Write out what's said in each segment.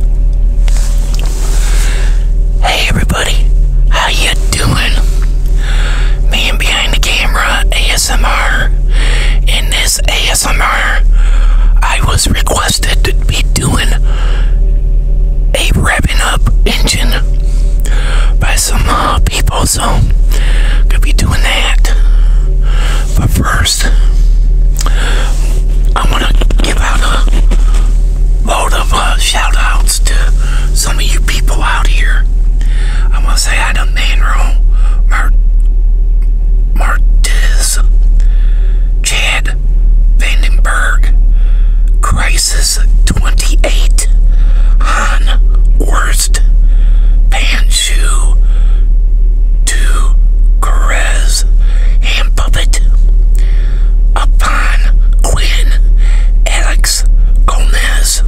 Hey everybody, how you doing? Man behind the camera, ASMR. In this ASMR, I was requested to be doing a revving up engine by some uh, people, so could be doing that. But first. I want to give out a load of uh, shout outs to some of you people out here. I want to say I done Manro, Mart Martiz, Chad Vandenberg, Crisis 28, Han Worst, Panshu, to Caress and Puppet upon Quinn Alex Gomez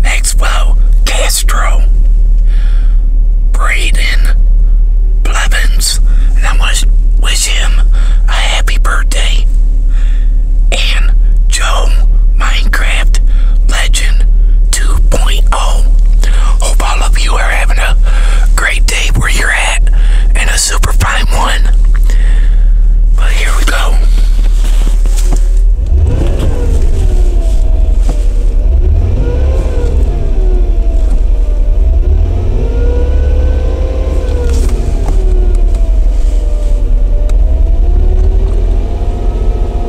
Maxwell Castro Braden Blevins and I want to wish him a happy birthday and Joe Minecraft Legend 2.0 Oh, hope all of you are having a great day where you're at and a super fine one. But here we go.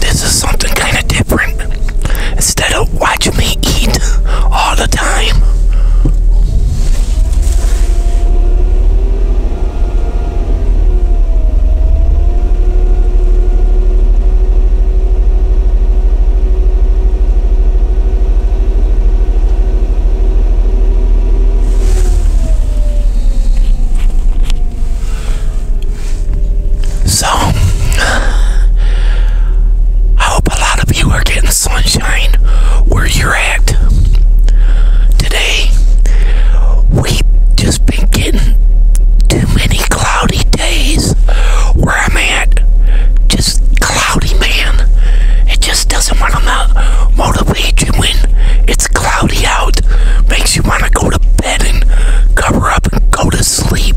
This is something kind of different. Instead of watching me eat all the time. So, I hope a lot of you are getting sunshine where you're at today we just been getting too many cloudy days where I'm at. Just cloudy, man. It just doesn't want to motivate you when it's cloudy out. Makes you want to go to bed and cover up and go to sleep.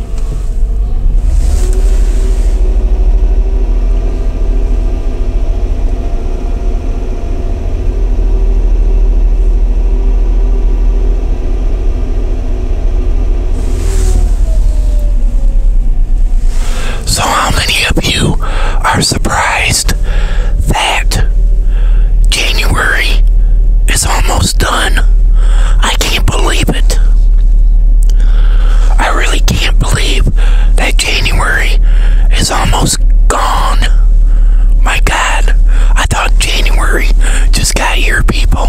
So, how many of you are surprised that January is almost done? I can't believe it. I really can't believe that January is almost gone. My God, I thought January just got here, people.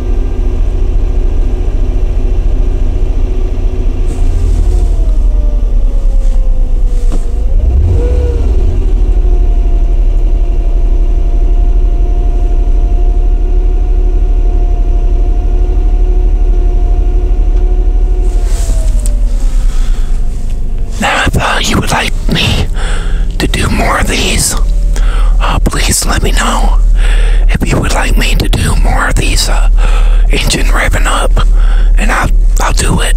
Now, if uh, you would like me to do more of these, please please let me know if you would like me to do more of these uh, engine revving up, and I'll, I'll do it.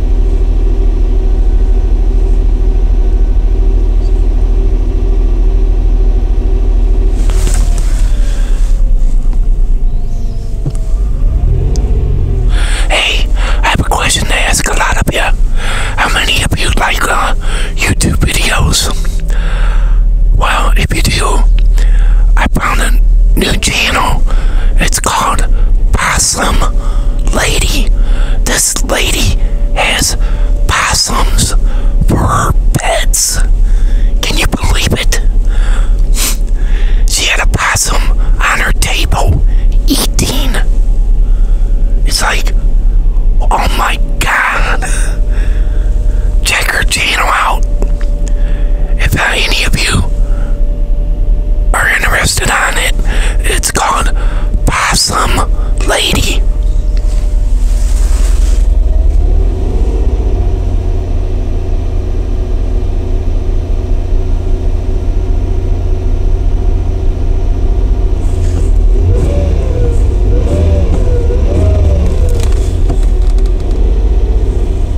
Hey, I have a question to ask a lot of you. How many of you like uh, YouTube videos? Well, if you do, I found a new channel. It's called Possum Lady. This lady has possums for her pets. Can you believe it? She had a possum on her table eating. It's like, oh my god. Check her channel out. If any of you are interested on it, it's called Possum Lady.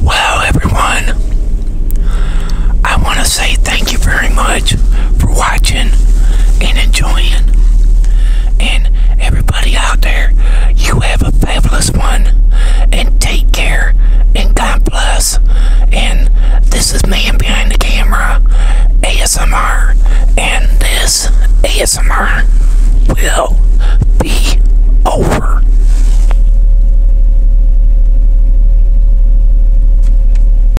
Wow, everyone. I want to say thank thank you very much for watching and enjoying. And everybody out there, you have a fabulous one. And take care. And God bless. And this is Man Behind the Camera, ASMR. And this ASMR will be over.